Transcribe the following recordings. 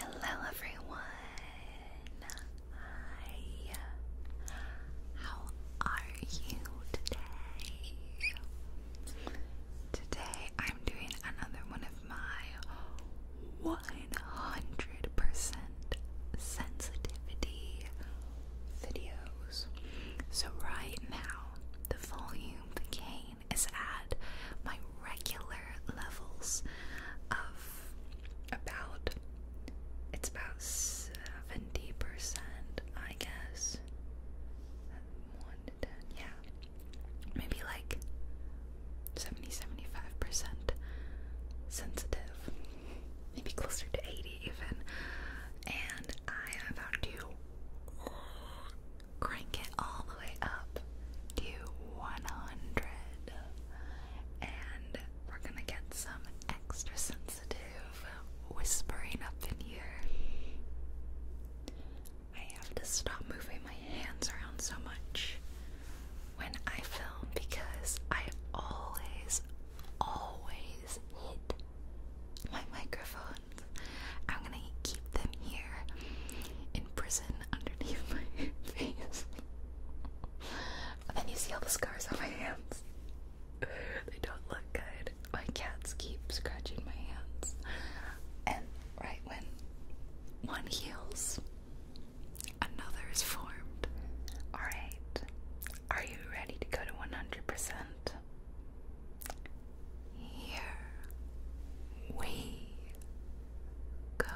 Hello everyone. How are you today? Today I'm doing another one of my 100 sensitivity videos. So right now the volume, became is at my regular levels of about it's about 70 percent I guess yeah maybe like 70 percent sensitive maybe closer to 80 even and I am about to crank it all the way up to 100. And we're gonna get some extra sensitive whispering up in here. I have to stop moving my hands around so much when I film because I always, always hit my microphones. I'm gonna keep them here in prison underneath my face. and then you see all the scars on my hands. They don't look good. My cats keep scratching my hands. And right when one heals, another is formed. Alright, are you ready to go to 100%? Here we go.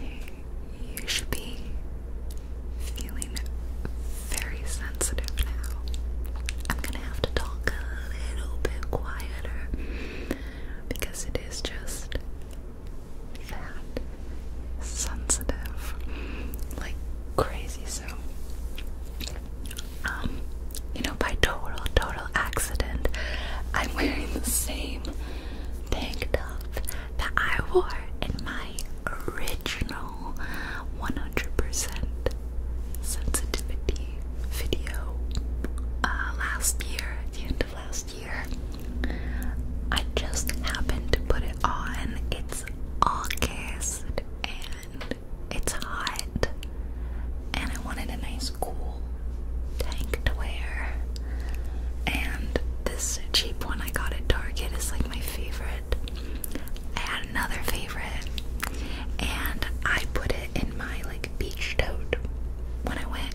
You should be feeling very sensitive now. I'm gonna have to talk a little bit quieter because it is just that sensitive like crazy so um you know by total total accident I'm wearing the same tank top that I wore in my original 100% sensitivity video uh, last year at the end of last year I just happened to put it on. It's. August and it's hot, and I wanted a nice cool tank to wear. And this cheap one I got at Target is like my favorite. I had another favorite, and I put it in my like beach tote when I went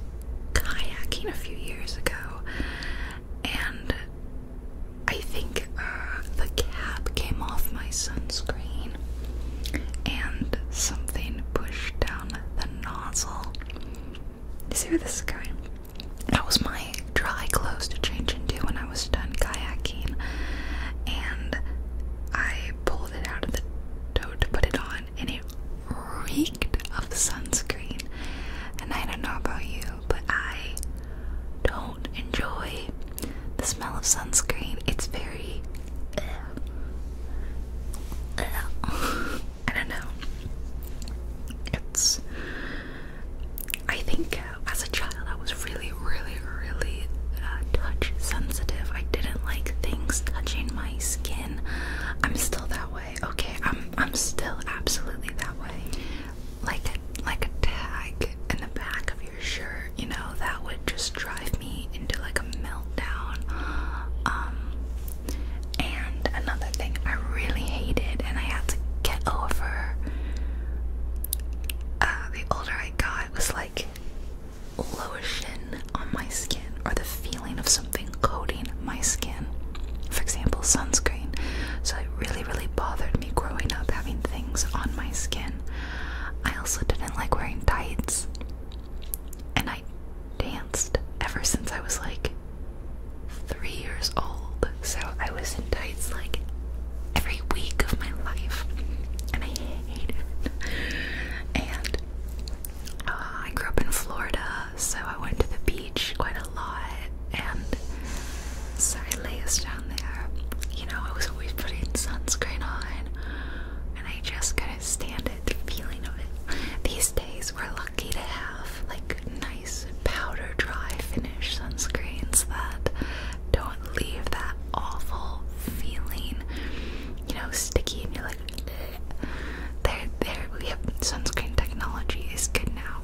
kayaking a few years ago and I think uh, the cap came off my sunscreen, and something pushed down the nozzle. You see where this is going? That was my dry clothes to change into when I was done kayaking, and I pulled it out of the tow to put it on, and it reeked of sunscreen. And I don't know about you, but I don't enjoy the smell of sunscreen. It's very. Uh, uh, I don't know. It's. I think uh, as a child I was really, really, really touch sensitive. I didn't like things touching my skin. I'm still that way. Okay, I'm. I'm still absolutely that way like a, like a tag in the back of your shirt, you know, that would just drive me into like a meltdown. Um, and another thing I really hated, and I had to get over uh, the older I got, was like lotion on my skin or the feeling of something coating my skin. For example, sunscreen. So it really, really bothered me growing up having things on my skin. I also didn't like wearing tights. And I danced ever since I was like three years old. So I was in tights like every week of my life. And I hated it. And uh, I grew up in Florida, so I went to the beach quite a lot, and so I lays down there. You know, I was always putting sunscreen on, and I just couldn't stand it, the feeling of it. These days, we're lucky to have like nice powder dry finish sunscreens that don't leave that awful feeling, you know, sticky, and you're like, Ugh. there, there. We have sunscreen technology is good now.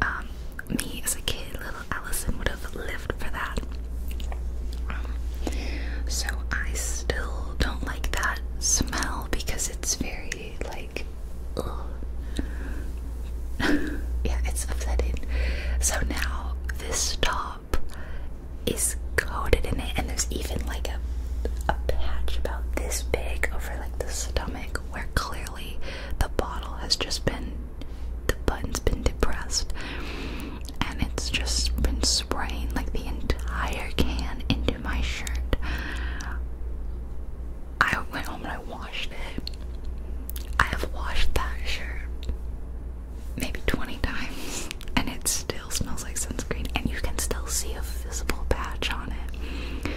Um, me as a kid, little Allison would have lived for that. so I still don't like that smell because it's very like, yeah, it's upsetting. So now this top is coated in it, and there's even like a a patch about this big over like the stomach where clearly the bottle has just been, the button's been depressed, and it's just been spraying like the entire can into my shirt. I went home and I washed it. I have washed that shirt maybe 20 times, and it still smells like sunscreen, and you can still see a visible patch on it.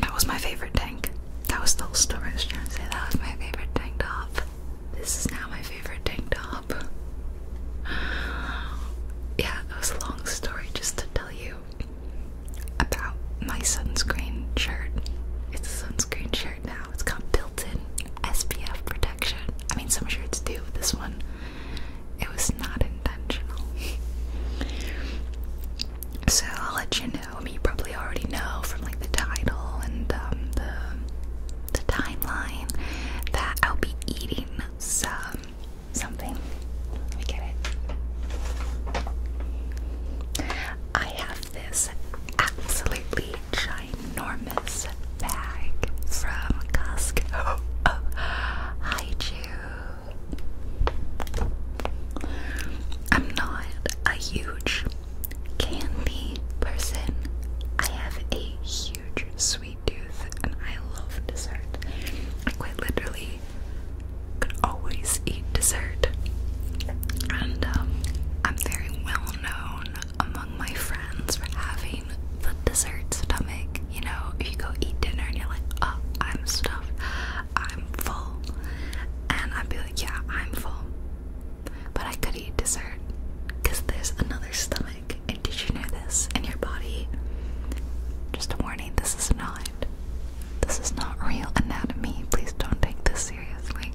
That was my favorite tank. That was the whole story I was trying to say. That was my favorite tank top. This is now my favorite tank top. Yeah, that was a long story just to tell you about my sunscreen shirt. It's a sunscreen shirt now. It's got built-in SPF protection. I mean, some shirts do, but this one, it was not intentional. so I'll let you know I mean, you probably already know from like the title and um, the the timeline that I'll be eating some something. Let me get it. I have this absolutely ginormous bag from Costco Hi, oh, I'm not a huge candy person. I have a huge sweet tooth and I love dessert. I quite literally could always eat dessert. And um, I'm very well known among my friends for having the dessert stomach. You know, if you go eat dinner and you're like, oh, I'm stuffed. I'm full. And I'd be like, yeah, I'm full. But I could eat dessert because there's another stomach. And did you know this? in your body. Just a warning, this is not. This is not real anatomy. Please don't take this seriously.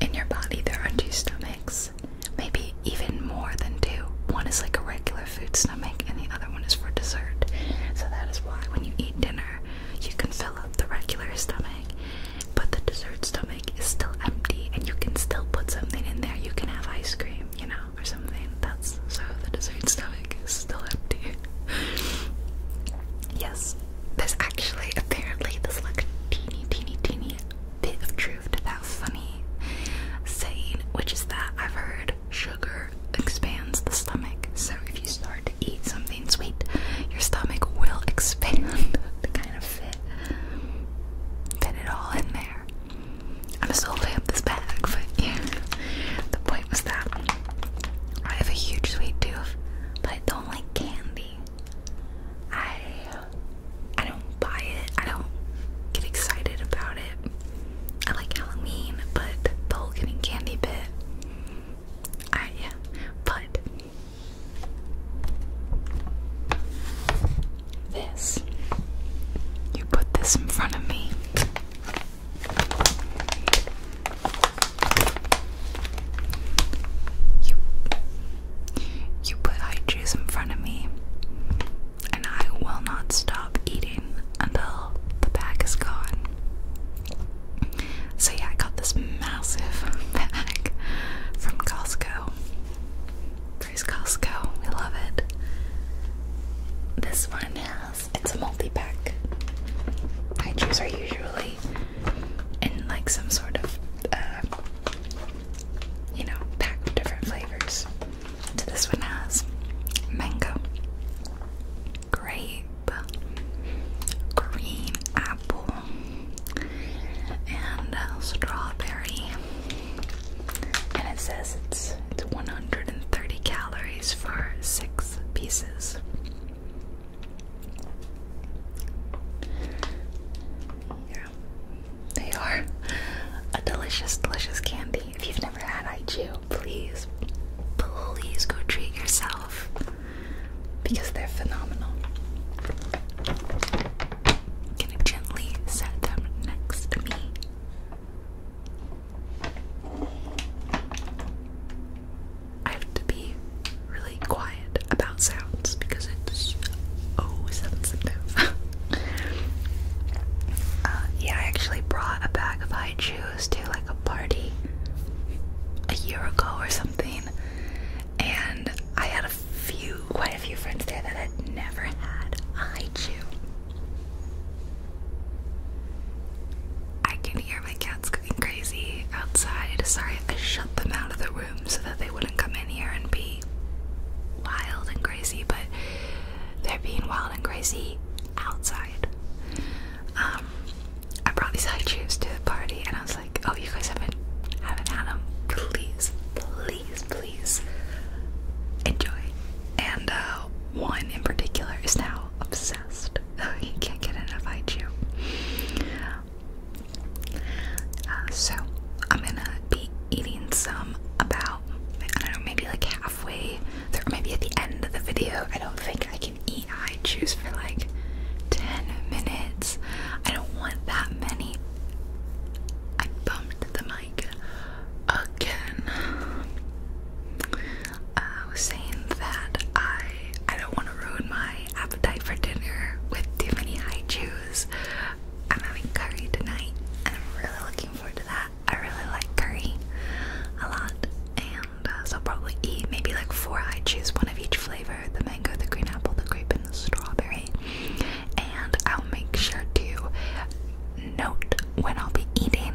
In your body, there are two stomachs. Maybe even more than two. One is like a regular food stomach, and the other one is for dessert. So that is why when you eat dinner, you can fill up the regular stomach, but the dessert stomach is still empty, and you can still put something in there. You can have ice cream, you know, or something. That's so the dessert stomach is still empty. yes, there's actually apparently this like teeny, teeny, teeny bit of truth to that funny saying, which is that I've heard blood sugar expands the stomach. So if you start to eat something sweet, your stomach will expand to kind of fit fit it all in there. I'm still holding up this bag, but yeah. The point was that I have a huge sweet tooth, but I don't like candy. I I don't buy it. I don't get excited about it. I like Halloween, but the whole getting candy bit I am, but this you put this in front of me. You you put high in front of me, and I will not stop eating until the bag is gone. So yeah, I got this massive bag from Costco. Praise Costco, we love it. This one has it's a multi-pack. Hydros are usually in like some sort of uh, you know pack of different flavors. this one has mango, Great green apple, and strawberry. And it says it's it's 130 calories for six pieces. Yeah, they are a delicious, delicious candy. If you've never had iju, please please go treat yourself because they're phenomenal. gonna gently set them next to me. I have to be really quiet about sounds because it's oh sensitive. Uh, yeah, I actually brought a bag of high to like a party a year ago or something, and I had a few, quite a few friends there that had never had a haichu. I can hear my cats going crazy outside. Sorry, I shut them out of the room so that they wouldn't come in here and be wild and crazy, but they're being wild and crazy outside. Um, I brought these high chairs to the party, and I was like, "Oh, you guys haven't haven't had them. Please, please, please enjoy." And uh, one in particular is now obsessed. Oh, he can't get enough high chew. Uh, so I'm gonna be eating some about I don't know maybe like halfway through, or maybe at the end of the video. I don't think I like an EI juice for like 10 minutes. I don't want that many. I bumped the mic again. Uh, I was saying that I I don't want to ruin my appetite for dinner with too many high chews. I'm having curry tonight and I'm really looking forward to that. I really like curry a lot and so I'll probably eat maybe like four. I choose one of each flavor: the mango, the green apple, the grape, and the strawberry. And I'll make sure to note when I'll be eating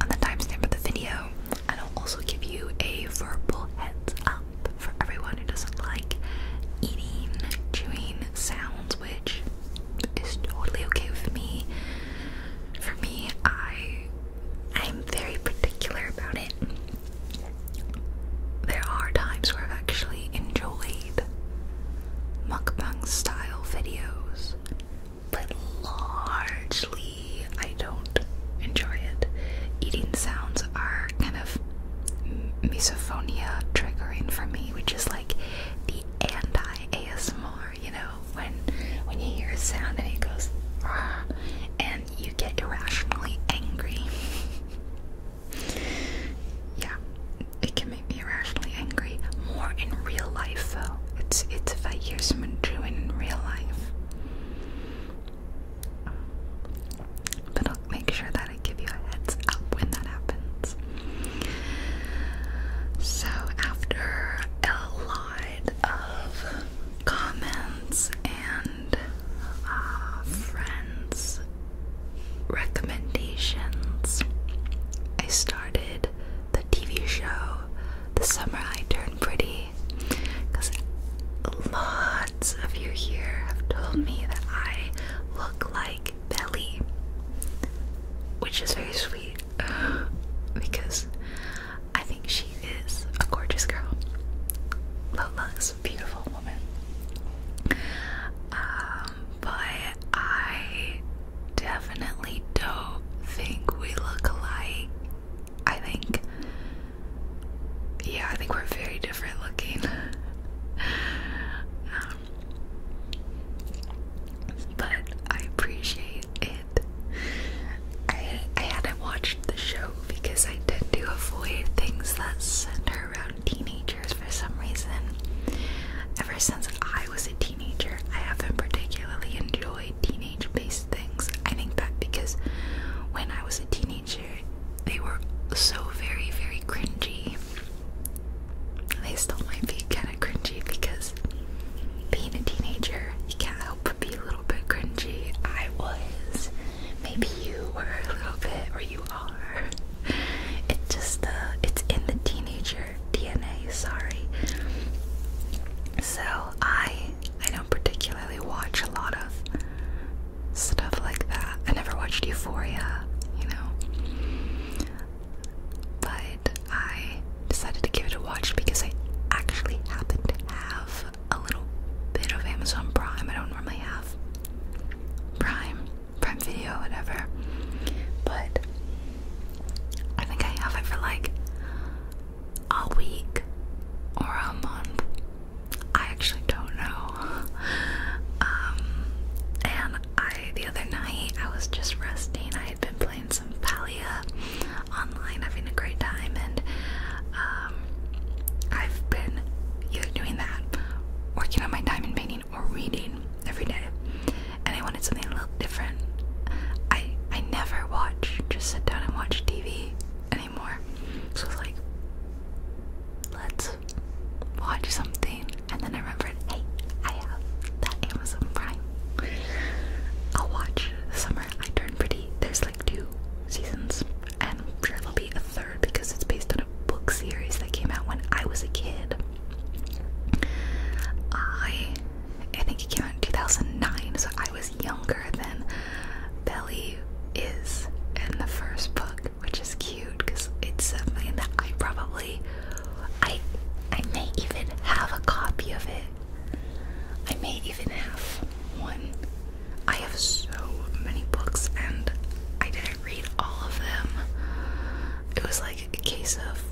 on the timestamp of the video, and I'll also give you a verbal heads up for everyone who doesn't like eating, chewing sounds, which is totally okay with me. For me, I I'm very particular about it. There are times where I've actually enjoyed mukbang style videos, but largely I don't enjoy it. Eating sounds are kind of misophonia triggering for me, which is like the anti ASMR you know when when you hear a sound and it goes and you get irrationally angry. yeah, it can make me irrationally angry more in real life though. It's it's if I hear someone doing in real life. But I'll make sure that I give you a heads up when that happens. So after a lot of comments and uh, friends' recommendations, I started the TV show The Summer I Turned Pretty because lots of you here have told me that I look like Belly, which is very sweet because I think she is a gorgeous girl. Lola is a beautiful woman. Um, but I definitely don't think we look alike. I think, yeah, I think we're very different looking. Um, but I appreciate it I I hadn't watched the show because I tend to avoid things that center around teenagers for some reason. Ever since I was a teenager, I haven't particularly enjoyed teenage-based things. I think that because when I was a teenager, they were so very, very cringy. They still might be kind of cringy because being a teenager, you can't help help be a little bit cringy. I was. Maybe you were a little bit, or you are. It just, uh, it's in the teenager DNA, sorry. So I, I don't particularly watch a lot of stuff like that. I never watched Euphoria, you know. But I decided to give it a watch because I actually happen to have a little bit of Amazon Prime. I don't normally have Prime, Prime Video, whatever, but I think I have it for like a week or a month. I actually don't know. Um, and I the other night I was just resting. I had been playing some Palia online, having a great time, and um, I've been doing that, working on my diamond painting, or reading every day. And I wanted something a little different. I I never watch, just sit down and watch TV anymore. So it's like, let's watch something, and then I remembered, hey, I have that Amazon Prime. I'll watch Summer I Turn Pretty. There's like two seasons, and I'm sure there'll be a third because it's based on a book series that came out when I was a kid. I I think it came out in 2009, so I was younger than Belly is in the first book, which is cute because it's something that I probably I I may even have a copy of it I may even have one. I have so many books and I didn't read all of them. It was like a case of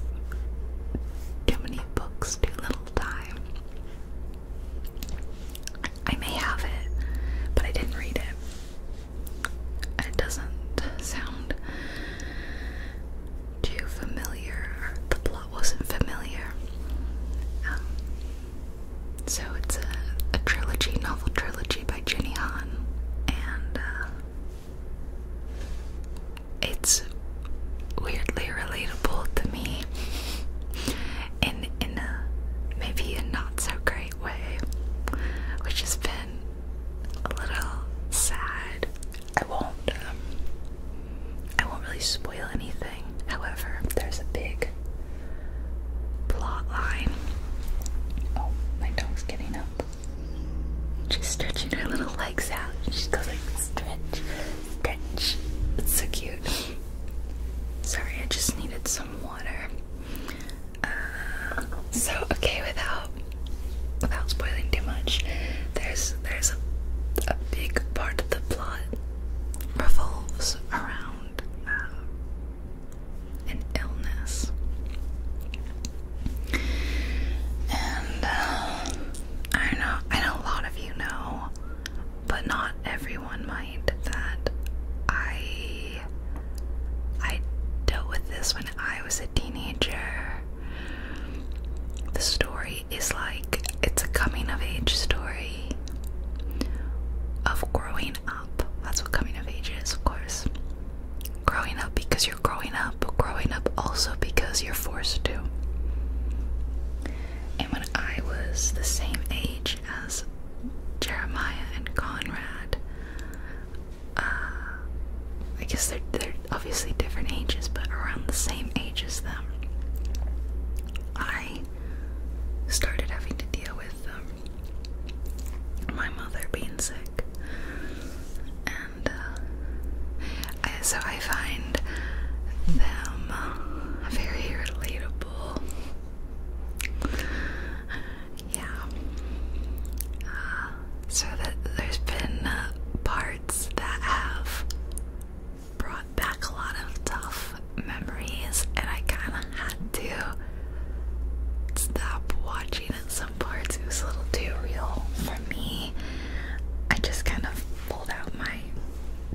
too many books, too little time. I may have it, but I didn't read it. And it doesn't sound too familiar. The plot lot wasn't familiar. Um, so it's a, trilogy, novel trilogy by Jenny Han, and uh, it's weirdly relatable to me in in a maybe a not so great way, which has been a little sad. I won't um, I won't really spoil anything However, there's a big plot line. Oh, my dog's getting up. She's stretching her little legs out. She goes like stretch, stretch. It's so cute. Sorry, I just needed some water. Uh, so okay, without without spoiling too much, there's there's a big part of the plot revolves around uh, an illness. And uh, I don't know, I know a lot of you know, but not everyone might, that I I dealt with this when I was a teenager. The story is like it's a coming of age story of growing up. That's what coming of age is, of course. Growing up because you're growing up, but growing up also because you're forced to. And when I was the same age as Jeremiah and Conrad, uh, I guess they're, they're obviously different ages, but around the same age as them. I started having to deal with um, my mother being sick, and uh, so I find them uh, very relatable. Yeah. Uh, so that there's been uh, parts that have brought back a lot of tough memories, and I kind of had to stop watching it. Some parts it was a little too real for me. I just kind of pulled out my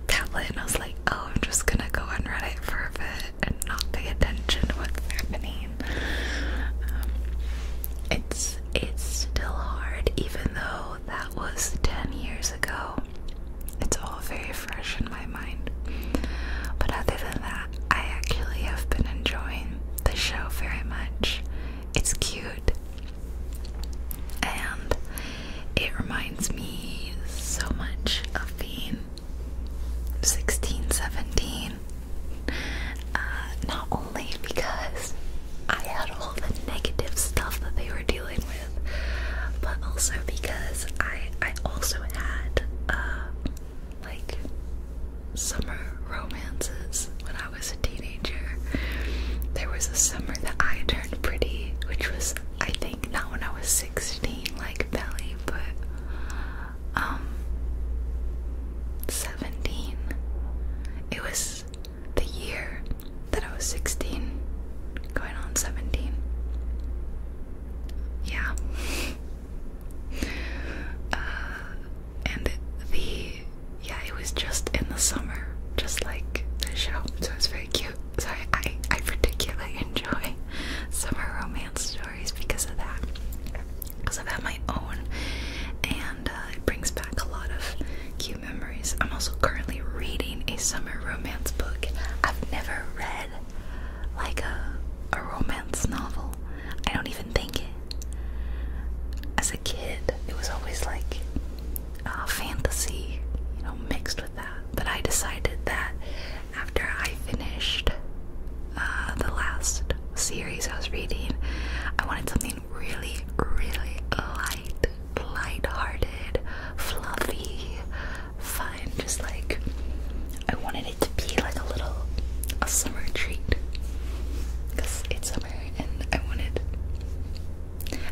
tablet and I was like, "Oh, I'm just gonna go on Reddit for a bit and not pay attention to what's happening." Um, it's it's still hard, even though that was ten years ago. It's all very fresh in my mind. But other than that, I actually have been enjoying the show very much. It's cute. And it reminds me so much of being 16, 17. Uh, not only because I had all the negative stuff that they were dealing with but also because I I also had uh, like summer romances when I was a teenager. There was a summer that I turned pretty, which was I think not when I was 16 like Belly, but um 17. It was the year that I was 16, going on 17. Yeah. Uh, and the, yeah, it was just in the summer, just like the show, so it's very cute. Sorry, I, I, particularly enjoy summer romance stories because of that. Because I've had my own, and uh, it brings back a lot of cute memories. I'm also currently reading a summer romance book. I've never read like a a romance novel. I don't even think it. As a kid, it was always like a fantasy, you know, mixed with that. But I decided that after I finished uh, the last series I was reading, I wanted something really, really light light-hearted, fluffy, fine Just like I wanted it to be like a little a summer treat because it's summer, and I wanted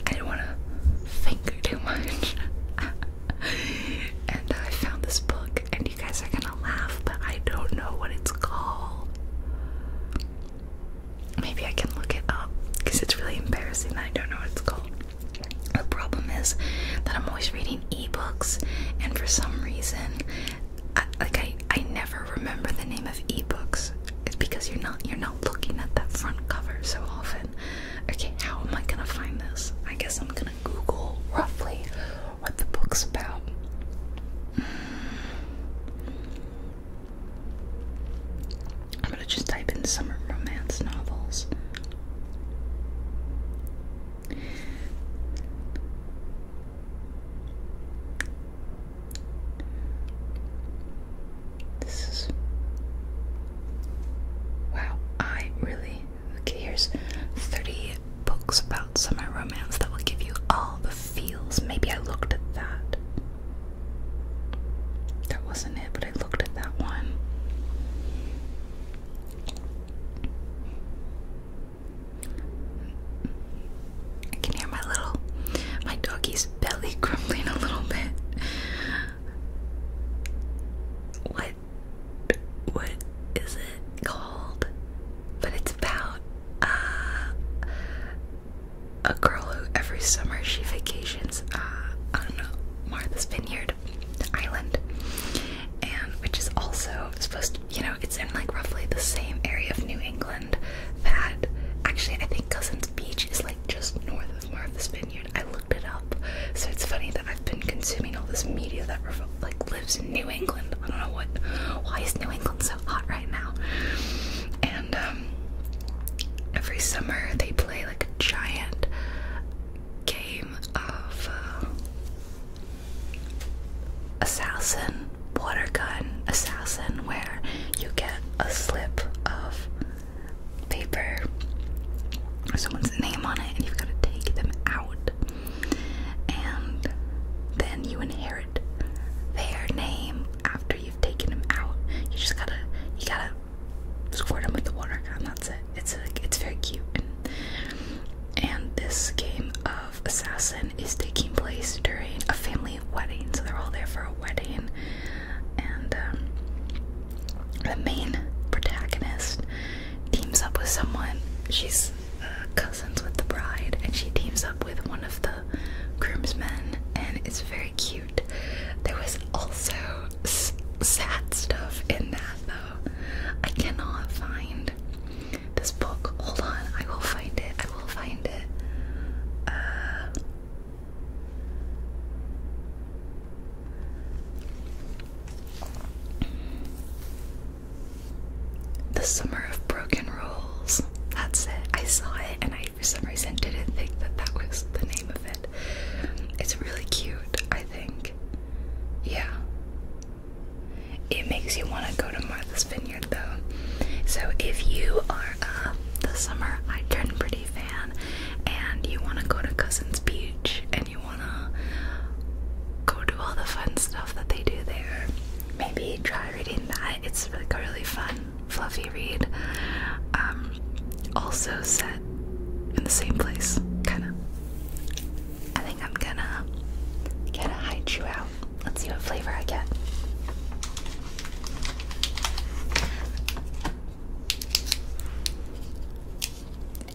I didn't want to think too much. and I found this book, and you guys are gonna laugh, but I don't know what it's called. Maybe I can look it up because it's really embarrassing. that I don't know what it's called. The problem is that I'm always reading ebooks, and for some reason, I, like I, I never remember the name of ebooks. It's because you're not you're not looking at that front cover so often. Okay, how am I gonna find this? I guess I'm gonna Google roughly what the book's about. I'm gonna just type in summer romance novels. This is wow. I really okay. Here's thirty books about summer romance that will give you all the feels. Maybe I looked at that. That wasn't it, but I looked at that one. I can hear my little, my doggy's belly grumbling a little bit. What, what is it called? But it's about, uh, a girl who every summer she vacations uh, on Martha's Vineyard Island, and which is also supposed to, you know, it's in like roughly the same area of New England that actually I think Cousins Beach is like just north of Martha's Vineyard. I looked it up, so it's funny that I've been consuming all this media that like lives in New England. I don't know what why is New England so hot right now, and um, Every summer they play like a giant game of uh, assassin water gun assassin where you get a slip of paper or someone's name on it and you've got to take them out and then you inherit their name after you've taken them out you just gotta you gotta squirt them with the water gun. That's it. It's a, it's very cute. And, this game of Assassin is taking place during a family wedding, so they're all there for a wedding. And um, the main protagonist teams up with someone. She's uh, cousins with the bride, and she teams up with one of the groomsmen, and it's very cute. There was also sad stuff in that though. I cannot find this book. Hold on, I will find it. I will find it. Uh, the Summer of Broken Rules. That's it. I saw it and I for some reason didn't think that that was the name of it. It's really cute, I think. Yeah. It makes you want to go to Martha's Vineyard though. So if you are a the summer I turn pretty fan and you want to go to Cousins Beach and you want to go do all the fun stuff that they do there, maybe try reading that. It's like really fun. Fluffy Reed, um, also set in the same place, kind of. I think I'm gonna gonna hide you out. Let's see what flavor I get.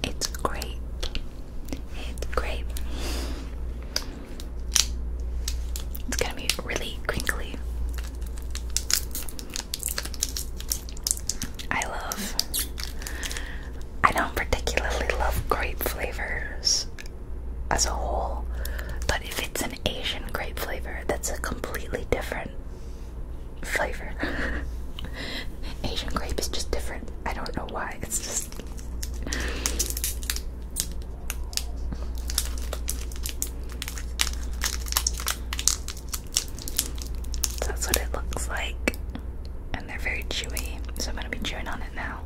It's great. It's grape. It's gonna be really crinkly. I love. I don't particularly love grape flavors as a whole, but if it's an Asian grape flavor, that's a completely different flavor. Asian grape is just different. I don't know why. It's just. That's what it looks like. And they're very chewy, so I'm gonna be chewing on it now.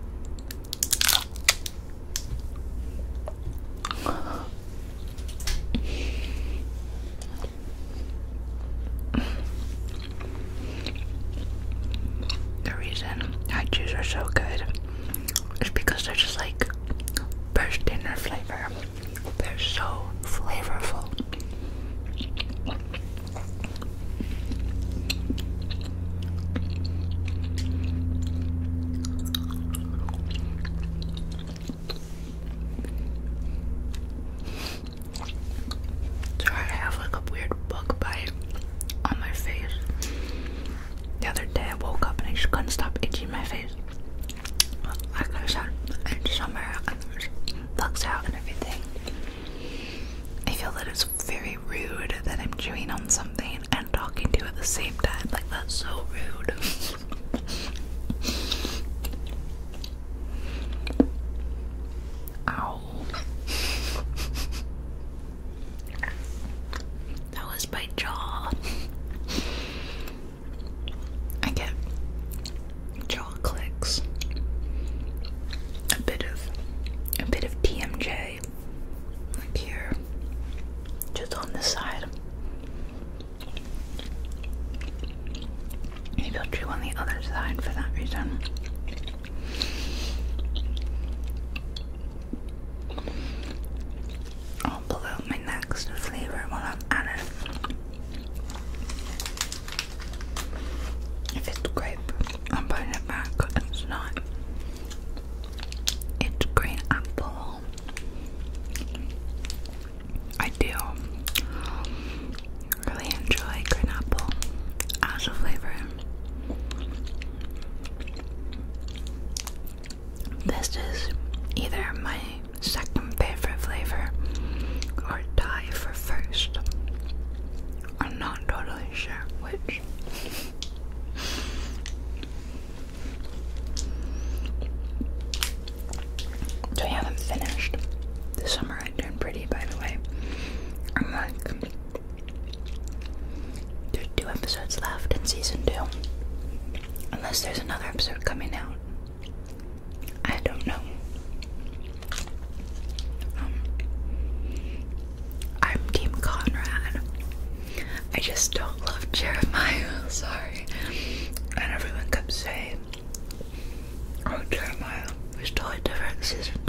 The reason I chews are so good is because they're just like burst in flavor. They're so flavorful. Sorry, I have like a weird bug bite on my face. The other day I woke up and I just couldn't stop itching my face like I said, it's summer and there's bugs out and everything. I feel that it's very rude that I'm chewing on something and talking to you at the same time. Like, that's so rude. Ow. That was my jaw. I get jaw clicks, a bit of a bit of TMJ, here, just on this side. Maybe I'll on the other side for that reason. I'll pull out my next flavor while I'm at it. If it's grape, I'm putting it back. It's not. It's green apple. I do really enjoy green apple as a flavor. This is either my second favorite flavor or die for first. I'm not totally sure which. So I haven't finished. The summer I turned pretty, by the way. I'm like, there's two episodes left in season two. Unless there's another episode coming out. I don't know. Um, I'm Team Conrad. I just don't love Jeremiah. Sorry. And everyone kept saying, "Oh, Jeremiah was totally differences in season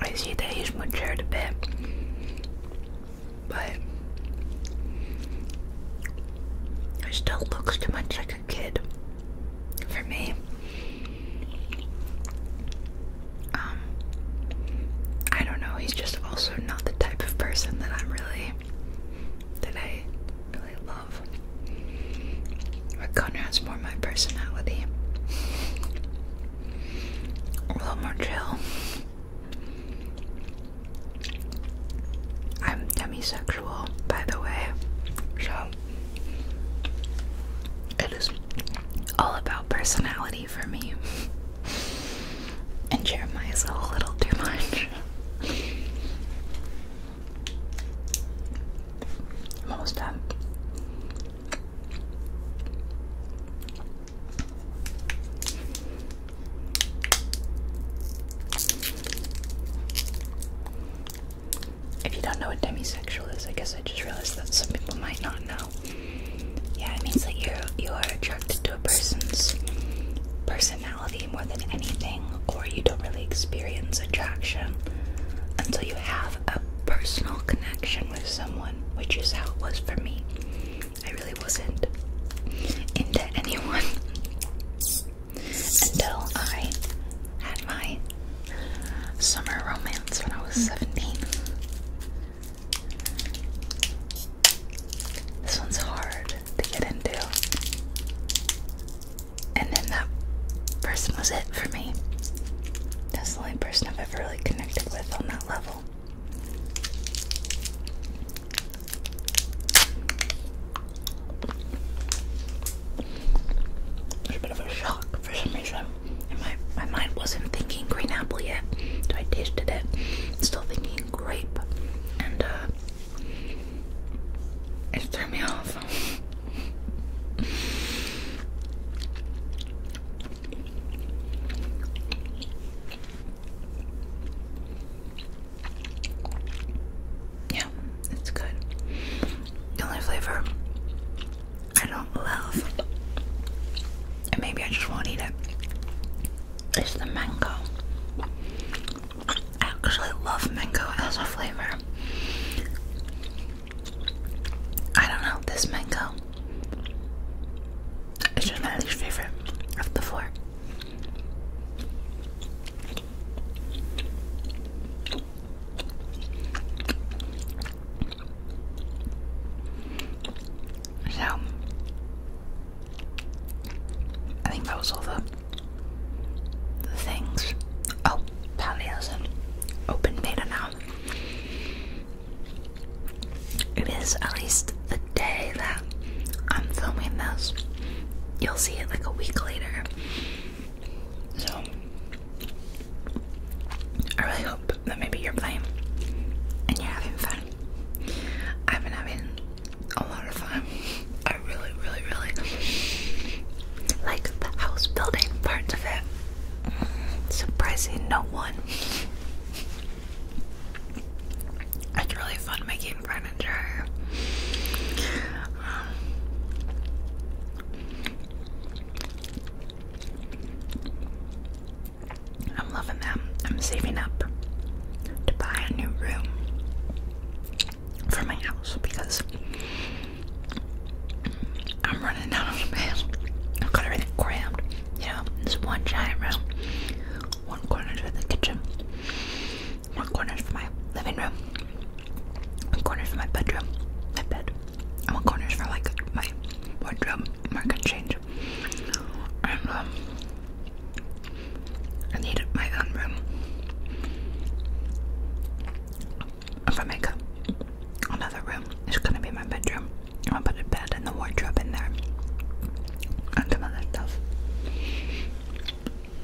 I see that he's matured a bit but it still looks too much like a kid for me. Um, I don't know. He's just also not the type of person that I'm really, that I really love. But Conrad's more my personality. A little more chill. I'm demisexual, by the way, so it is all about personality for me. And Jeremiah's a little too much. I'm almost done. If you don't know what demisexual is, I guess I just realized that some people might not know. Yeah, it means that you you are attracted to a person's personality more than anything, or you don't really experience attraction until you have a personal connection with someone, which is how it was for me. I really wasn't into anyone until I had my summer romance when I was hmm. 17. This one's hard to get into. And then that person was it for me. That's the only person I've ever really connected with on that level. It's a bit of a shock for some reason. And my my mind wasn't thinking green apple yet, so I tasted it. still thinking grape, and uh, it threw me off. Yeah, it's good. The only flavor I don't love, and maybe I just won't eat it, is the mango. I actually love mango as a flavor. I don't know, this mango is just my least favorite of the four. So, I think that was all the, things. Oh, Pally has an open beta now. It is at least the day that I'm filming this. You'll see it like a week later. So, I really hope that maybe you're playing and you're having fun. I've been having a lot of fun. I really, really, really like the house building parts of it. Surprising no one. It's really fun making furniture. Um, I'm loving them. I'm saving up to buy a new room for my house because I'm running out of space. I've got everything crammed. You know, this one giant room one corner for the kitchen, one corner for my living room, one corner for my bedroom, my bed, and one corner for like my wardrobe, market change. And um, I need my own room for makeup. Another room is gonna be my bedroom. I put a bed and the wardrobe in there and some other stuff.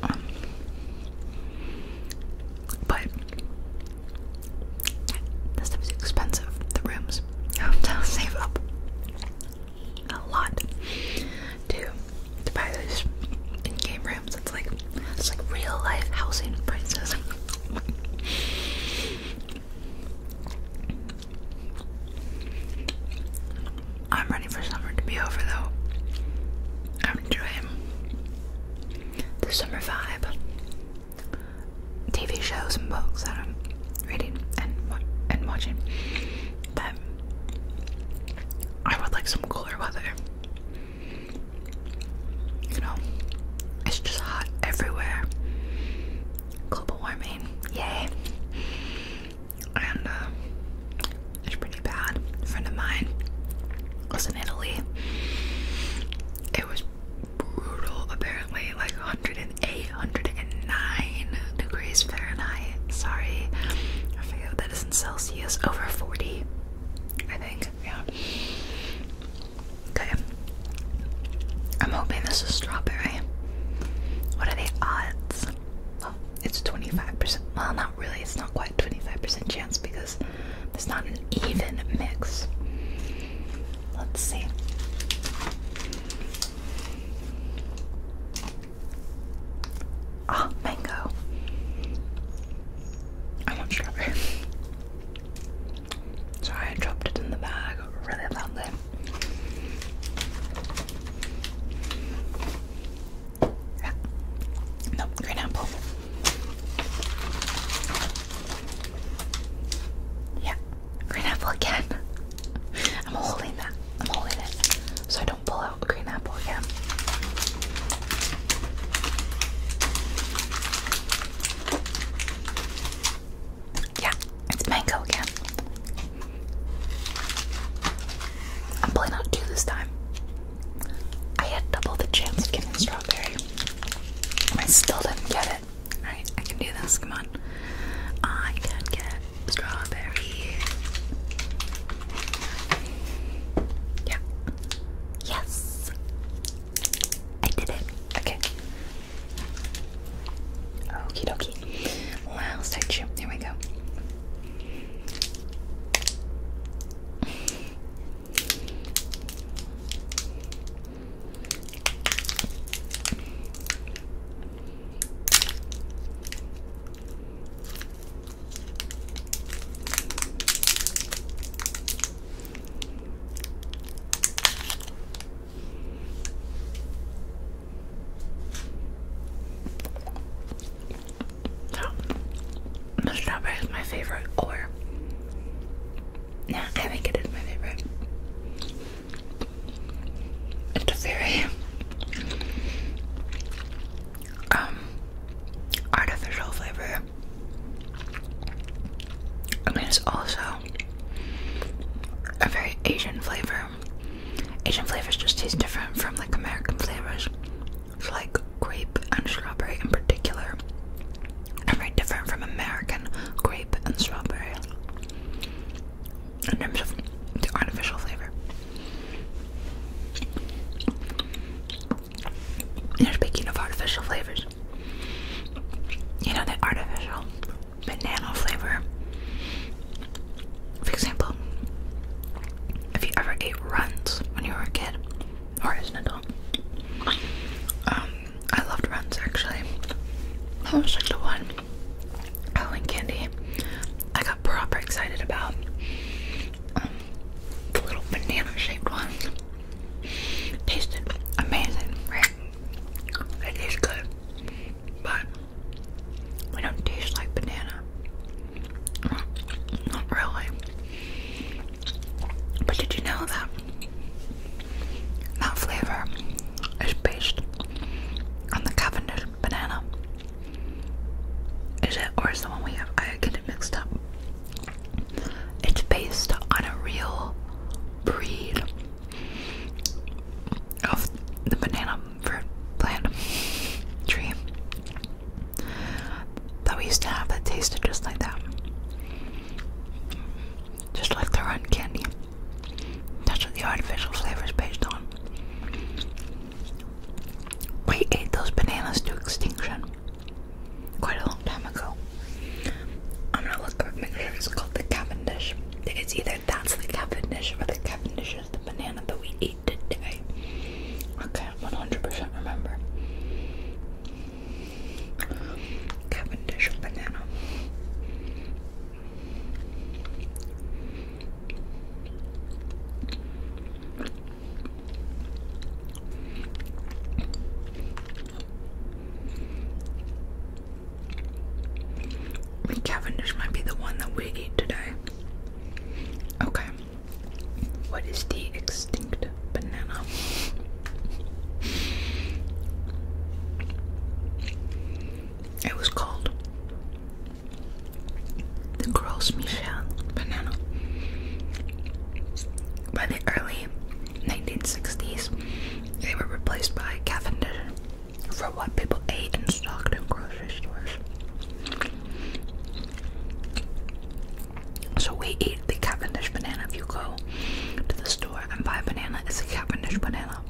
Um, but this stuff expensive. The rooms. I have to save up a lot to to buy those in-game rooms. It's like it's like real life housing prices. I'm ready for summer to be over though. I'm enjoying the summer vibe. TV shows and books that I'm reading and and watching. But I would like some cooler weather. You know, it's just hot everywhere. Global warming, yay and uh, it's pretty bad. A friend of mine was in Italy. It was brutal, apparently, like 108, 109 degrees Fahrenheit. Sorry, I forget that is in Celsius. Over 40, I think. Yeah. Okay. I'm hoping this is strawberry. What are the odds? Well, it's 25%. Well, not really. It's not quite 25% chance because it's not an even mix. Let's see. Ah, mango. I want strawberry. Sorry, I dropped it in the bag really loudly. No, green apple. Yeah, green apple again. I'm holding that. I'm holding it so I don't pull out green apple again. Yeah, it's mango again. I'm pulling out two this time. I had double the chance of getting strawberry. I still didn't get it. Alright, I can do this. Come on. I can get strawberry. Yeah. Yes. I did it. Okay. Okie dokie. Last texture. There we go. So, the strawberry is my favorite, or yeah, I think it is my favorite. It's a very um artificial flavor. I mean, it's also a very Asian flavor. Asian flavors just taste different from like American flavors. like grape and strawberry in particular are very different from American grape and strawberry in terms of the artificial flavor. And speaking of artificial flavors, you know they're artificial banana flavor. For example, if you ever ate runs when you were a kid or is it adult, um, I loved runs actually. That was like the one Halloween candy I got proper excited about. Um, the little banana shaped ones tasted amazing, It tastes good, but we don't taste like banana. Not really. But did you know that that flavor is based on the Cavendish banana? Is it or is the one we have? I get it mixed up. It's based on a real breed of the banana fruit plant tree that we used to have that tasted just like that. Just like the run candy. That's what the artificial flavor is based on. We ate those bananas to extinction quite a long time ago. I'm gonna look up, make sure it's called the Cavendish. It's either that's the Cavendish, but the Cavendish is the banana that we eat today. Okay, 100% remember. Cavendish banana. Cavendish might be the one that we eat today. Okay. What is the extinct banana? It was called the Gros Michel banana. By the early 1960s, they were replaced by Cavendish for what people ate and stocked in grocery stores. So we eat the Cavendish banana. If you go to the store and buy a banana, it's a Cavendish banana.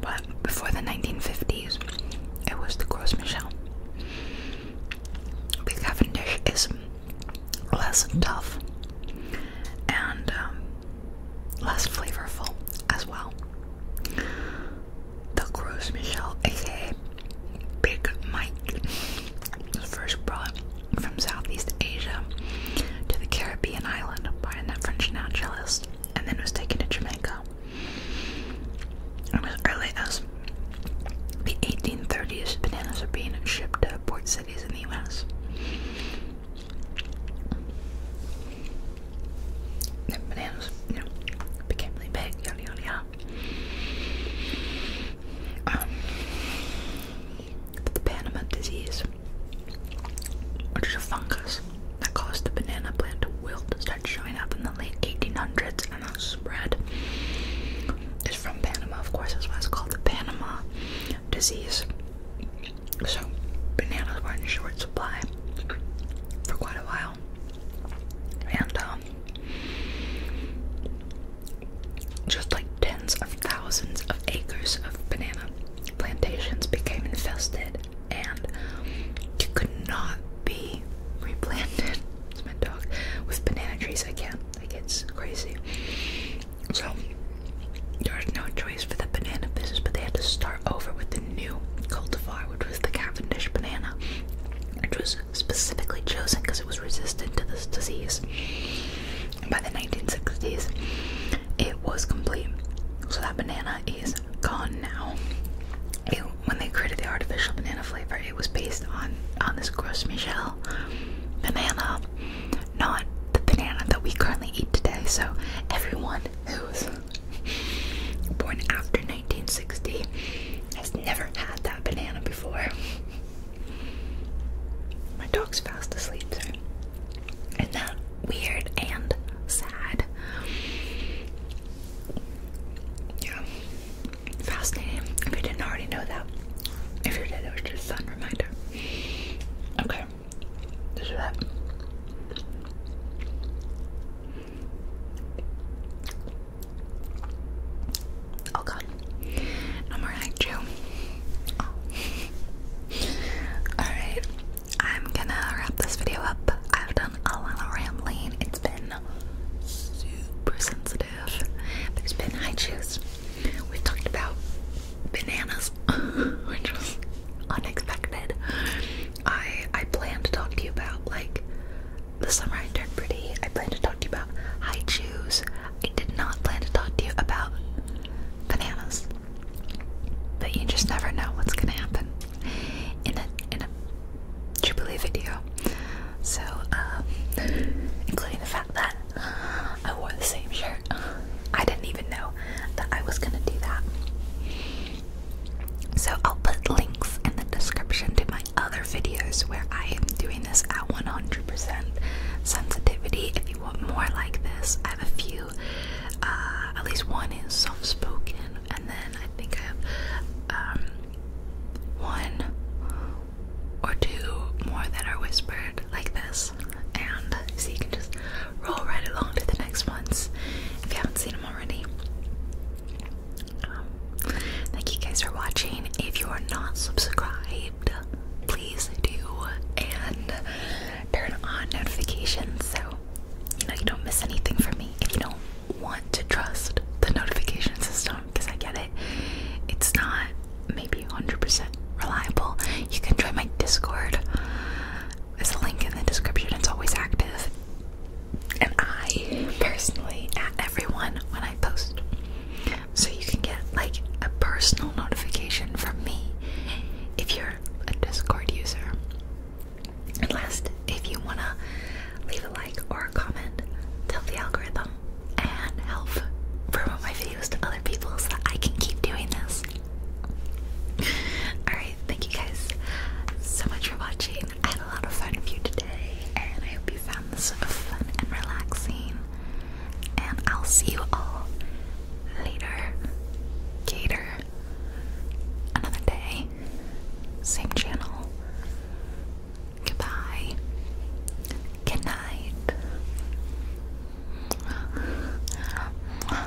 But before the 1950s, it was the Gros Michel. The Cavendish is less tough and um, less flavorful as well. The Gros Michel, aka Big Mike, was first brought from Southeast Asia to the Caribbean island by a French naturalist and then was taken to Jamaica. As early as the 1830s, bananas are being shipped to port cities in the US bananas, became really big, yada Um, the Panama disease, which is a fungus that caused the banana plant to wilt started showing up in the late 1800s and that spread, It's from Panama, of course, that's why it's called the Panama disease. So, bananas were in short supply for quite a while. And, um, just like tens of thousands of acres of banana plantations became infested, and you could not be replanted. with banana trees. I can't. Like it's crazy. So there there's no choice for the banana business, but they had to start over with the new cultivar, which was the Cavendish banana, which was specifically chosen because it was resistant to this disease. by the 1960s, it was complete. So that banana is gone now. when they created the artificial banana flavor, it was based on on this Gros Michel banana, not the banana that we currently eat today. So everyone anyone who was born after 1960 has never had that banana before. My dog's fast asleep, sorry. that weird and sad? Yeah. Fascinating. If you didn't already know that. If you did, it was just a fun reminder. Okay. This is it. Oh god. No more like chew. Oh. Alright. I'm gonna wrap this video up. I've done a lot of rambling. It's been super sensitive. There's been high chews. we talked about bananas, which was unexpected. I I plan to talk to you about like the summer I turned pretty. I plan to talk to you about high shoes. I did not plan to talk to you about bananas. But you just never know what's gonna happen in a in a Jubilee video. So, um, including the fact that I wore the same shirt. I didn't even know that I was gonna do that. So I'll put links in the description to my other videos where I am doing this at 100% sensitivity. If you want more like this, I have a few. Uh, at least one is soft spoken, and then I think I have um, one or two more that are whispered like this. And so you can just roll right along to the next ones if you haven't seen them already. Um, thank you guys for watching. If you are not subscribed, please do and turn on notifications so you know you don't miss anything from me. If you don't want to trust the notification system, because I get it, it's not maybe 100% reliable. You can join my Discord. There's a link in the description, it's always active. And I personally at everyone when I post. So you can get like a personal notification from me if you're a Discord user. And last, if you wanna leave a like or a comment, tell the algorithm and help promote my videos to other people so that I can keep doing this. Alright, thank you guys so much for watching. I had a lot of fun with you today, and I hope you found this fun and relaxing. And I'll see you all later. Gator. Another day. Same channel. Goodbye. Good night. Bye.